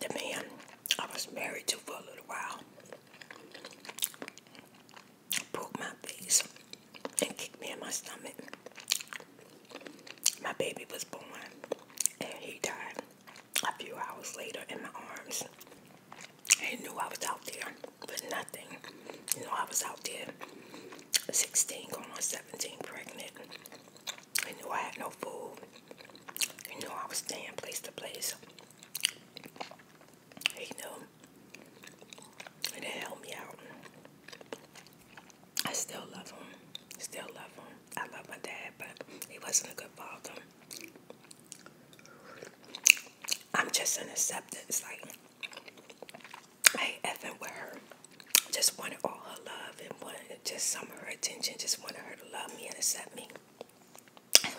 the man I was married to for a little while broke my face and kicked me in my stomach. My baby was born and he died a few hours later in my arms. He knew I was out there but nothing. You know, I was out there 16, going on 17, pregnant. I knew I had no food. You know, I was staying place to place. You know, and it helped me out. I still love him. Still love him. I love my dad, but he wasn't a good father. I'm just in acceptance. Like, I ain't effing with her just wanted all her love and wanted just some of her attention, just wanted her to love me and accept me. I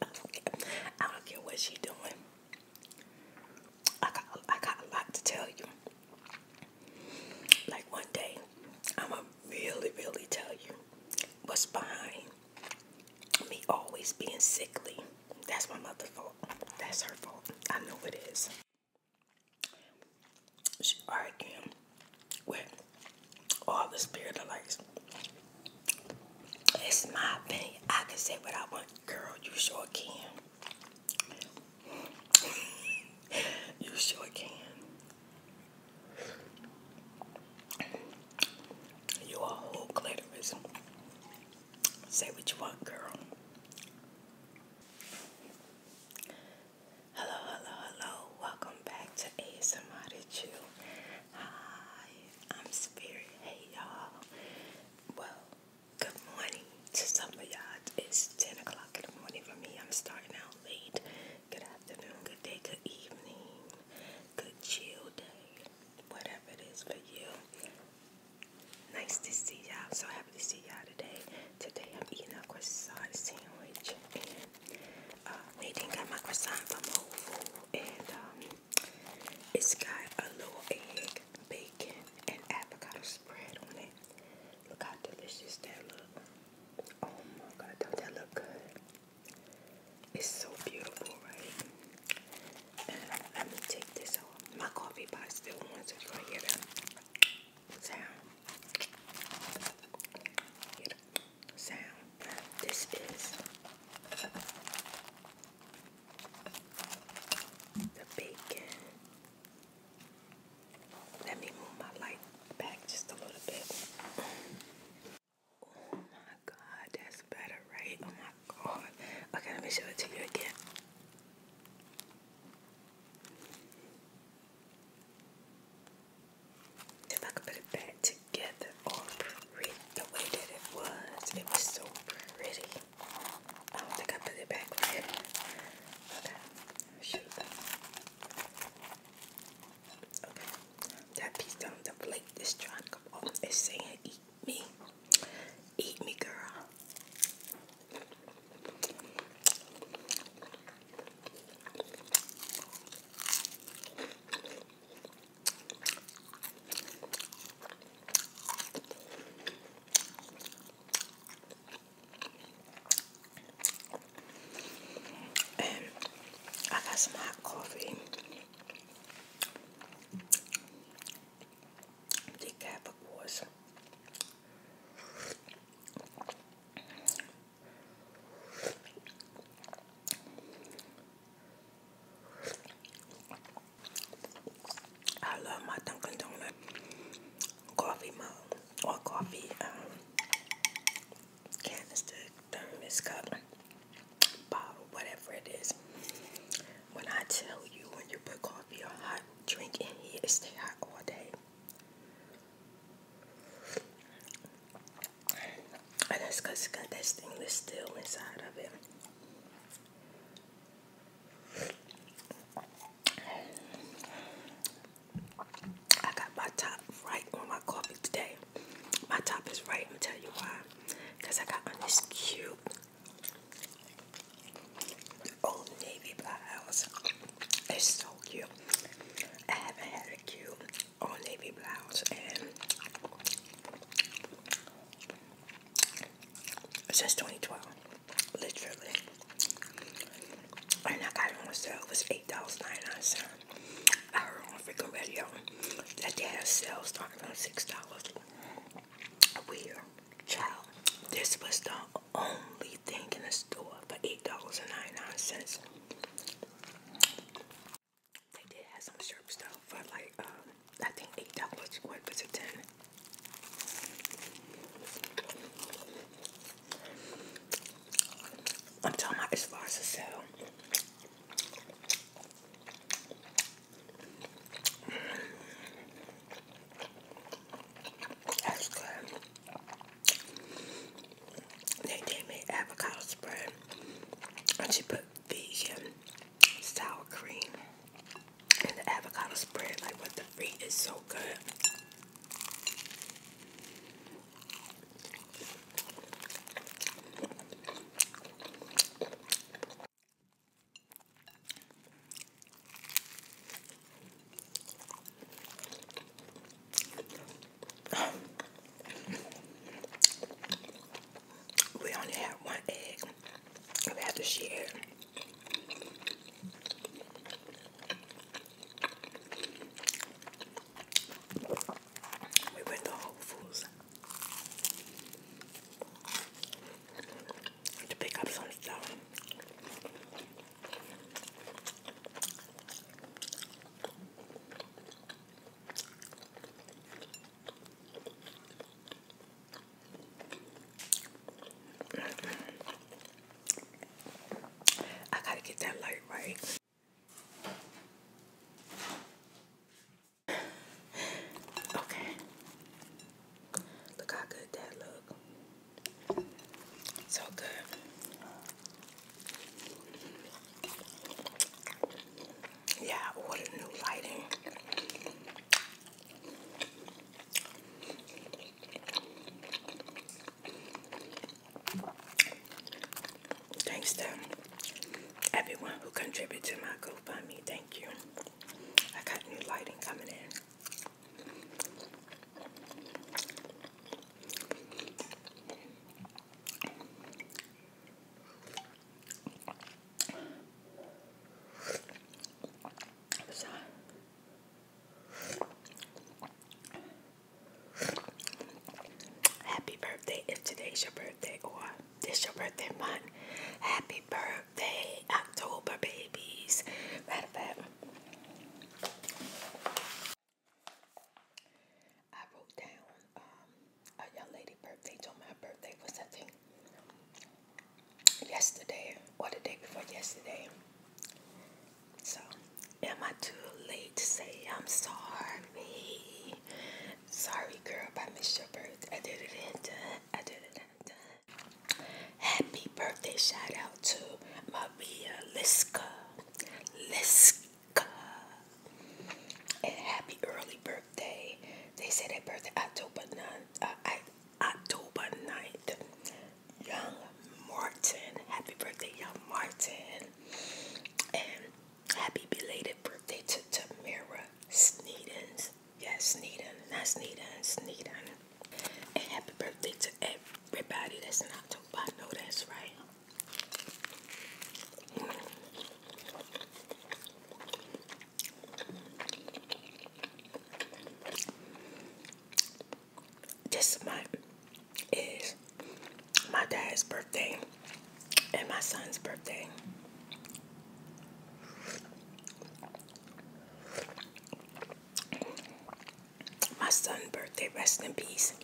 don't, care. care what she's doing. I got, I got a lot to tell you. Like one day, I'm going to really, really tell you what's behind me always being sickly. That's my mother's fault. That's her fault. I know it is. She arguing with all the spirit It's my opinion. I can say what I want. Girl, you sure can. you sure can. You are whole clitoris. Say what you want, girl. Hello, hello, hello. Welcome back to ASMR to Hi, I'm Spirit. Hey, y'all. Well, good morning to some of y'all. It's 10 o'clock in the morning for me. I'm starting out late. Good afternoon, good day, good evening, good chill day, whatever it is for you. Nice to see y'all. So happy see y'all today. Today I'm eating a croissant sandwich and I uh, we didn't got my croissant from Whole Foods and um, it's got a little egg, bacon, and avocado spread on it. Look how delicious that looks. Oh my god, don't that look good? It's so beautiful, right? And let me take this off. My coffee pot still wants to try it sound, sound. This is the bacon. Let me move my light back just a little bit. Oh my god, that's better, right? Oh my god. Okay, let me show it to you again. If I could put it back together all pretty the way that it was, it was so pretty. I don't think I put it back Okay, shoot. Okay, that piece on the plate is trying to come off. It's saying, "Eat me, eat me, girl." And um, I got some hot coffee. Decaf, of course. I love my Dunkin' Donut coffee mug or coffee um, canister, thermos cup, bottle, whatever it is. When I tell you, when you put coffee or hot drink in here, it stays hot all day. And that's because it's got that stainless steel inside of it. I got my top right on my coffee today. My top is right, I'll tell you why. I got on this cute old navy blouse. It's so cute. I haven't had a cute all navy blouse and since 2012, literally. And I got it on sale. It was $8.99. I heard on radio that they had a sale starting from $6. Weird. Child, this was the only thing in the store for $8.99. They did have some sharp stuff for like, um, I think $8 what 10 I'm talking about this far as the sale. That's good. They did make avocado spread, and she put vegan sour cream in the avocado spread. Like what the freak is so good. We only have one egg. We have to share. We went to Whole Foods to pick up some stuff. I gotta get that light right. Okay. Look how good that look. So good. Yeah, I ordered new lighting. Thanks to everyone who contributed to my GoFundMe. Thank you. I got new lighting coming in happy birthday if today's your birthday or this your birthday month. Happy birthday, October babies. Matter of fact, I wrote down um, a young lady birthday. So my birthday was I yesterday or the day before yesterday. So am I too late to say I'm sorry? Sorry, girl, I missed your birthday. Happy birthday shout out to Maria Liska. Liska. And happy early birthday. They said that birthday October 9th. Uh, October 9th. Young Martin. Happy birthday, Young Martin. And happy belated birthday to Tamara Sneeden. Yes, Sneeden. Not Sneeden. Sneeden. And happy birthday to everybody that's in October. I know that's right. This month is my dad's birthday and my son's birthday my son's birthday, rest in peace.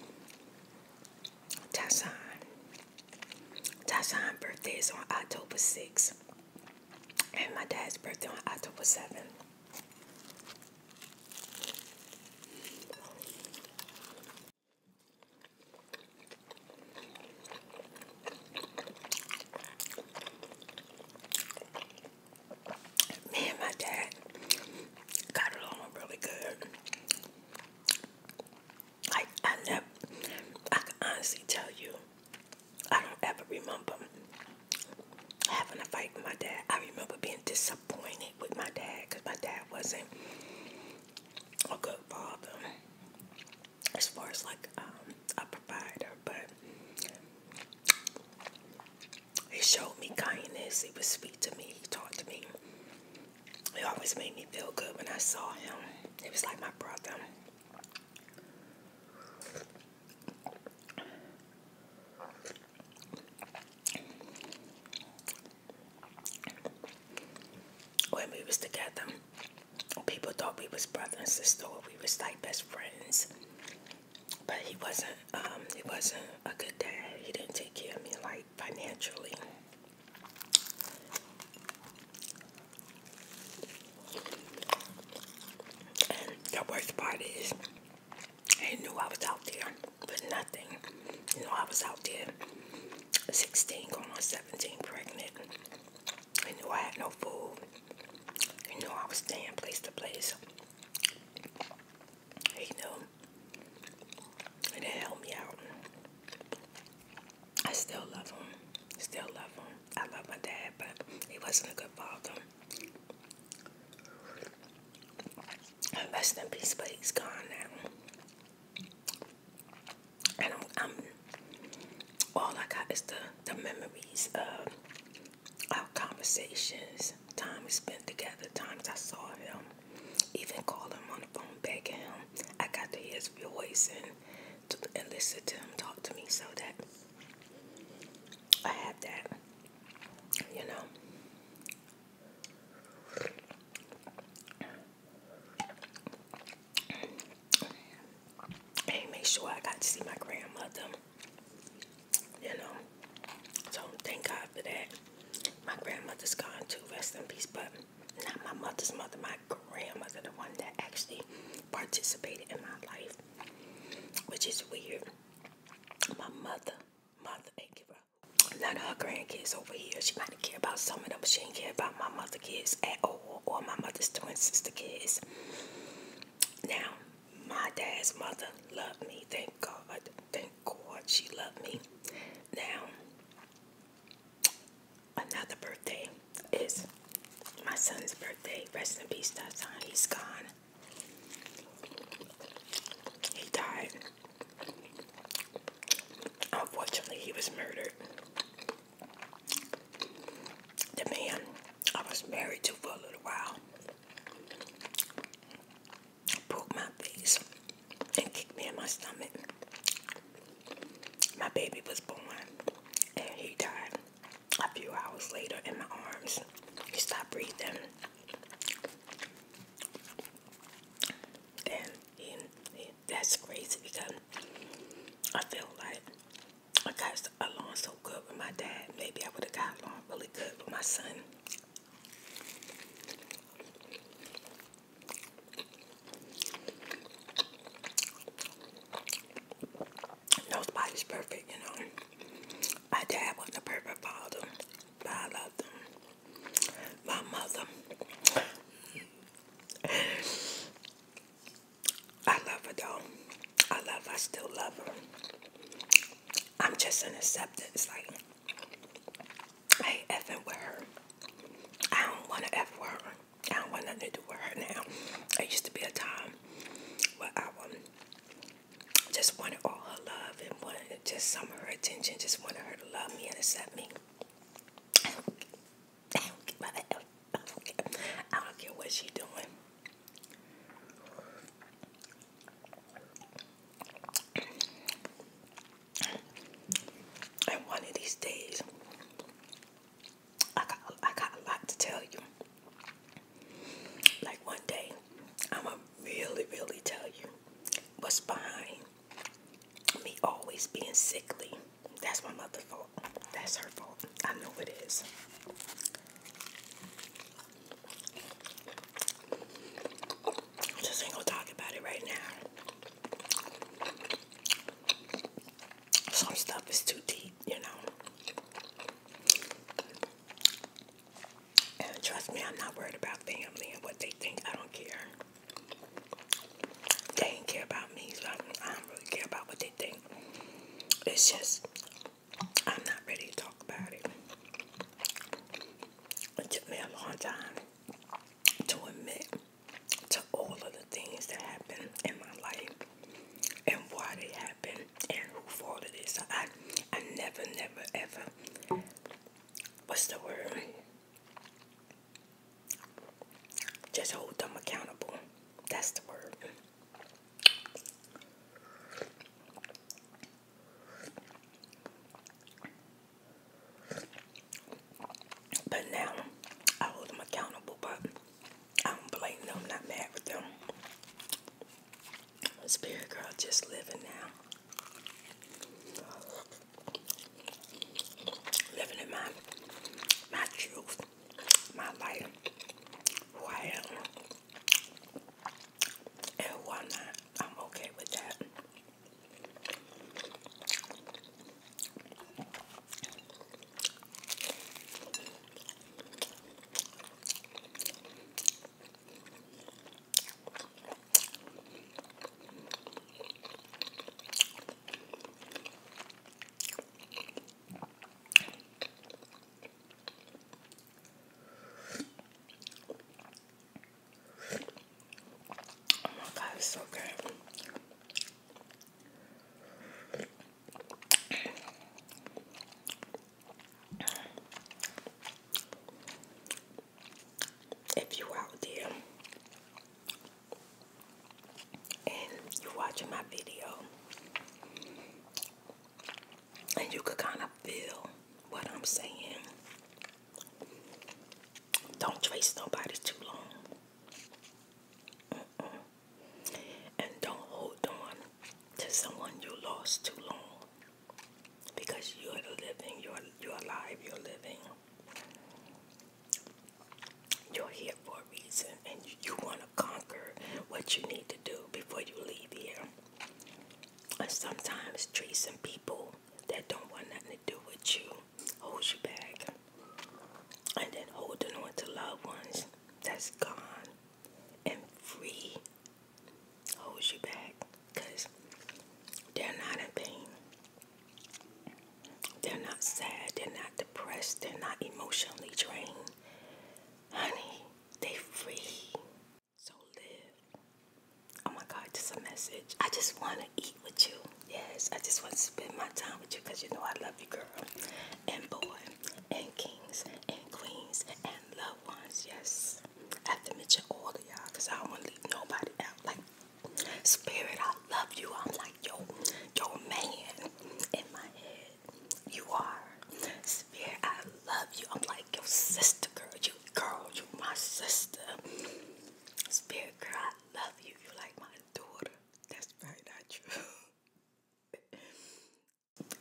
Tashan. Tashan's birthday is on October 6th. And my dad's birthday on October 7th me and my dad got along really good. Like I never, I can honestly tell you, I don't ever remember having a fight with my dad. I remember being disappointed with my dad because my dad wasn't a good father as far as like um, a provider, but he showed me kindness. He was sweet to me. He talked to me. He always made me feel good when I saw him. He was like my brother. When we was together, people thought we was brother and sister. we was like best friends but he wasn't um, he wasn't a good dad. He didn't take care of me like financially. the worst part is he knew I was out there but nothing. You know, I was out there 16, going on 17, pregnant. He knew I had no food. He knew I was staying place to place you know, and it helped me out. I still love him. Still love him. I love my dad, but he wasn't a good father. Rest in peace, but he's gone now. And i all I got is the, the memories of our conversations, time we spent together, times I saw him, even called him on the phone, begging him. I got to hear his voice and, to, listen to him talk to me so that I had that, you know. And make sure I got to see my grandmother you know. So thank God for that. My grandmother's gone too, rest in peace, but not my mother's mother, my grandmother, the one that actually participated in my life, which is weird. My mother, mother thank you for None of her grandkids over here. She might care about some of them, She didn't care about my mother's kids at all, or my mother's twin sister kids. Now, my dad's mother loved me, thank God. Thank God she loved me. Now, another birthday is my son's birthday. Rest in peace, that son. He's gone. He died. Unfortunately, he was murdered. The man I was married to for a little while. Poked my face and kicked me in my stomach. My baby was born and he died a few hours later in my arms. He stopped breathing. And that's crazy because I feel like I got along so good with my dad. Maybe I would have got along really good with my son. No perfect, you know. My dad was a perfect father, I loved him. My mother, I love her though. I love, I still love her. I'm just in acceptance. Like, I ain't effing with her. I don't want to F her. I don't want nothing to do with her now. It used to be a time where I um, just want all her love and want just some of her attention. Just want her to love me and accept me. I don't, care. what she's doing. And one of these days, I got I got a lot to tell you. Like one day, I'ma really, really tell you what's behind me always being sickly. That's my mother's fault. That's her fault. I know it is. Just ain't gonna talk about it right now. Some stuff is too deep, you know. And trust me, I'm not worried about family and what they think. I don't care. They don't care about me, so I don't really care about what they think. It's just, I'm not ready to talk about it. It took me a long time to admit to all of the things that happened in my life and why they happened and who fault it. So I, I never, never, ever, what's the word? Just hold them accountable. That's the word. But now I hold them accountable, but I don't blame them. I'm not mad with them. Spirit girl, just living now. Living in my my truth, my life, who I am and why not? I'm okay with that. Oh my god, it's so good. If you out there and you watching my video and you could kind of feel what I'm saying. Don't trace nobody too long. And don't hold on to someone you lost too long. Because you're living, you're you're alive, you're living. You're here for a reason and you want to conquer what you need to do before you leave here and sometimes treating people that don't want nothing to do with you holds you back. And then holding on to loved ones that's gone and free holds you back because they're not in pain. They're not sad. They're not depressed. They're not emotionally drained. Honey, they free. So live. Oh my God, just a message. I just want to eat with you. Yes, I just want to spend my time with you because you know I love you, girl. And boy, and kings, and queens, and loved ones. Yes. I have to mention all of y'all because I don't want to leave nobody out. Like, Spirit, I love you. I'm like, yo, your man in my head. You are. Spirit, I love you. I'm like, like your sister, girl. You, girl, you my sister. Spirit girl, I love you. You like my daughter. That's right, not true.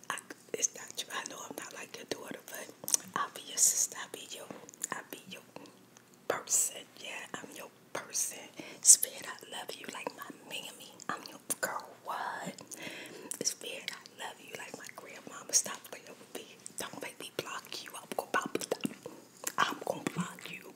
I, it's not true. I know I'm not like your daughter, but I'll be your sister. I'll be your, I'll be your person. Yeah, I'm your person. Spirit, I love you like my mammy. I'm your girl. What? Spirit, I love you like my grandmama. Stop playing don't make me block you. I'm gonna I'm gonna block you.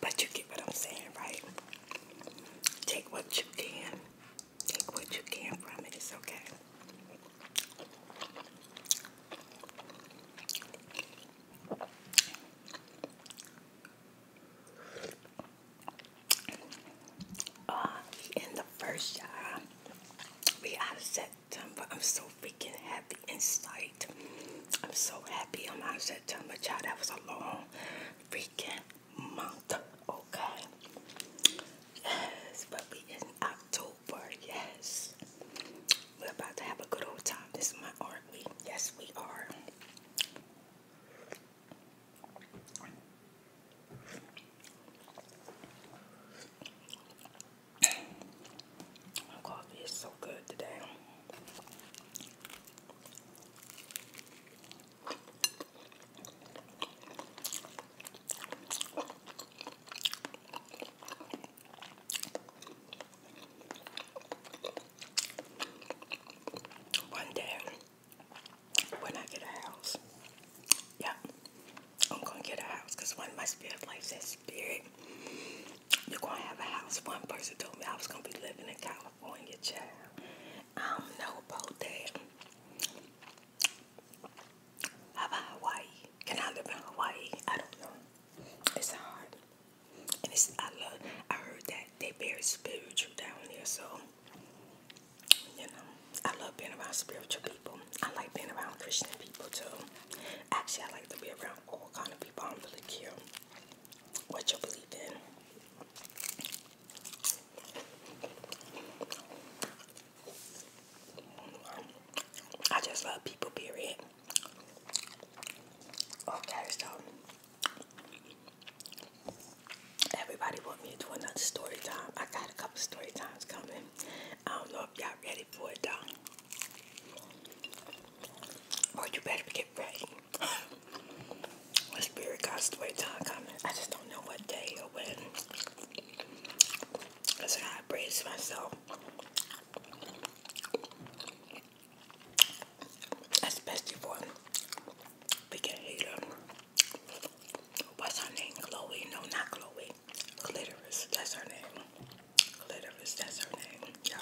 But you get what I'm saying, right? Take what you can Take what you can from it. It's okay. Uh, in the first shot, we out of September. I'm so freaking happy inside. I'm so happy I'm out of September, child. That was a long freaking month, okay? Yes, but we in October, yes. We're about to have a good old time this month, aren't Yes, we are. My coffee is so good today. One day, when I get a house, yeah, I'm gonna get a house because one of my spirit life says, Spirit, you're gonna have a house. One person told me I was gonna be living in California, child. I don't know about that about Hawaii? Can I live in Hawaii? I don't know. It's hard. And it's I love I heard that they very spiritual down there, so you know, I love being around spiritual people. I like being around Christian people too. Actually I like to be around all kind of people. I don't really care what you believe in. I just love people, period. Okay, oh, so everybody want me to do another story time. I got a couple story times coming. I don't know if y'all ready for it though. Or oh, you better get ready. My spirit got story time coming. I just don't know what day or when. That's how I praise myself. Especially for big hater. What's her name? Chloe? No, not Chloe. Clitoris. That's her name. Clitoris. That's her name. Yeah.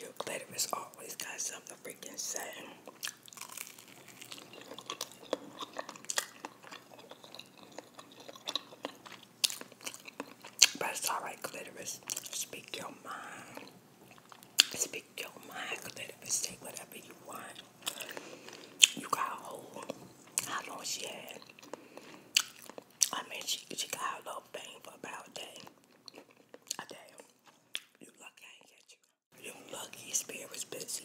Eucalyptus always got something freaking say. But it's alright, clitoris. Speak your mind. Speak your mind, clitoris. Say whatever you want. You got old. How long she had? I mean, she, she got a little pain for about a day. A day. You lucky You lucky spirit was busy.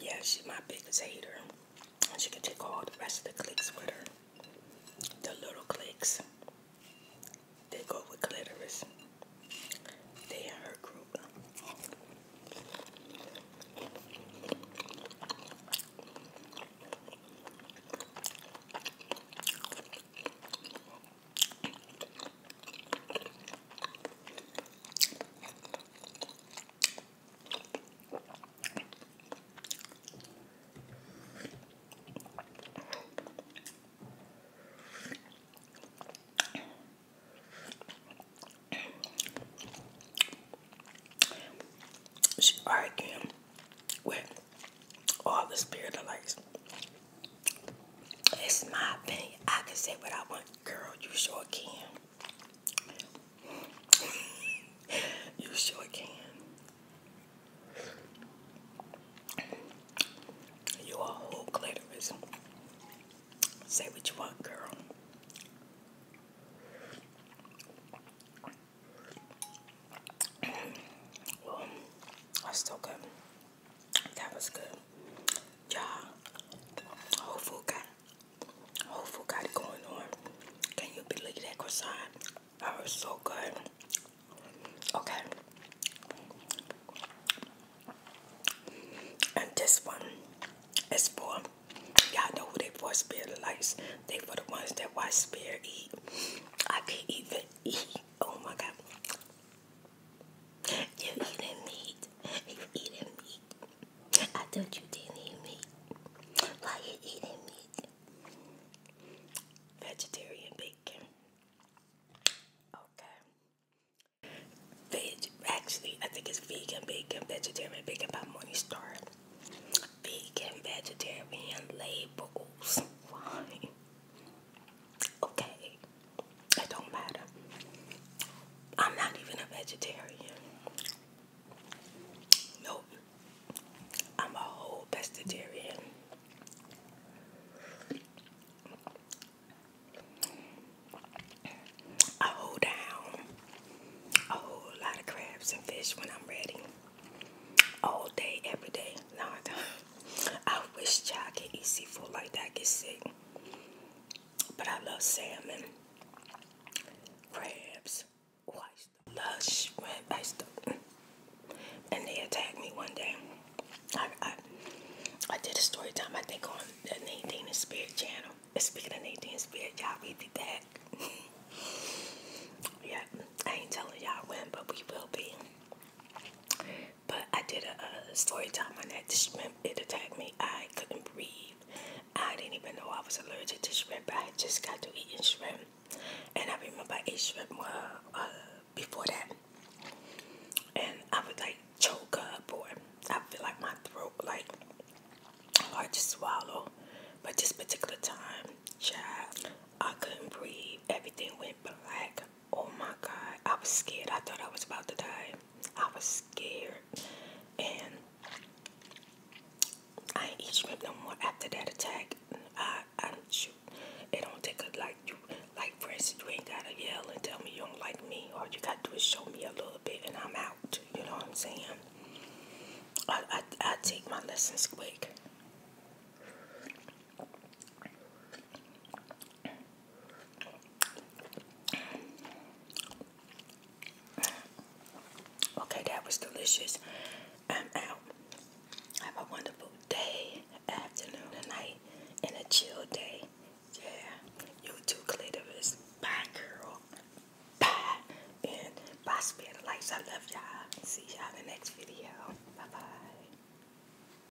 Yeah, she's my biggest hater. And she can take all the rest of the clicks with her. The little clicks. They go with clitoris. They in her group. She arguing with all the spirit of lights. It's my opinion. I can say what I want. Girl, you sure can. you sure can. You are whole clitoris. Say what you want, girl. i that's still good. That was good. Y'all, Whole got, Whole got going on. Can you believe that croissant? That was so good. Okay. And this one is for, y'all know who they for spirit lights. They for the ones that watch spirit eat. I can even eat. Oh my God. You eating meat. You eating meat. I thought you didn't eat meat. Why you eating meat? Vegetarian bacon. Okay. Veg actually I think it's vegan bacon, vegetarian bacon by Morningstar. Vegan vegetarian labels. Why? Okay, it don't matter. I'm not even a vegetarian. Nope. I'm a whole vegetarian. I hold down a whole lot of crabs and fish when I'm ready. All day, every day. No, I don't. I wish y'all could eat seafood like that, get sick. But I love salmon, crabs. Oh, I used to love shrimp. I used mm. and they attacked me one day. I, I, did a story time, I think, on the Nadine Spirit channel. speaking of Nadine and Spirit, y'all, we be back. yeah, I ain't telling y'all when, but we will be. But I did a, story time on that. The shrimp, it attacked me. I couldn't breathe. I didn't even know I was allergic to shrimp. But I just got to eating shrimp. And I remember eating shrimp uh, uh, before that. And I would like choke up or I feel like my throat like hard to swallow. But this particular time, child, I couldn't breathe. Everything went black. Oh my God, I was scared. I thought I was about to die. I was scared. And I ain't eat shrimp no more after that attack. I, I shoot. It don't take a like you like for instance you ain't gotta yell and tell me you don't like me. All you gotta do is show me a little bit and I'm out. You know what I'm saying? I I, I take my lessons quick. Okay, that was delicious. I'm out. Have a wonderful day, afternoon, night, and a chill day. Yeah, you too, clitoris. Bye, girl. Bye. And bye, spirit lights. I love y'all. See y'all in the next video. Bye bye.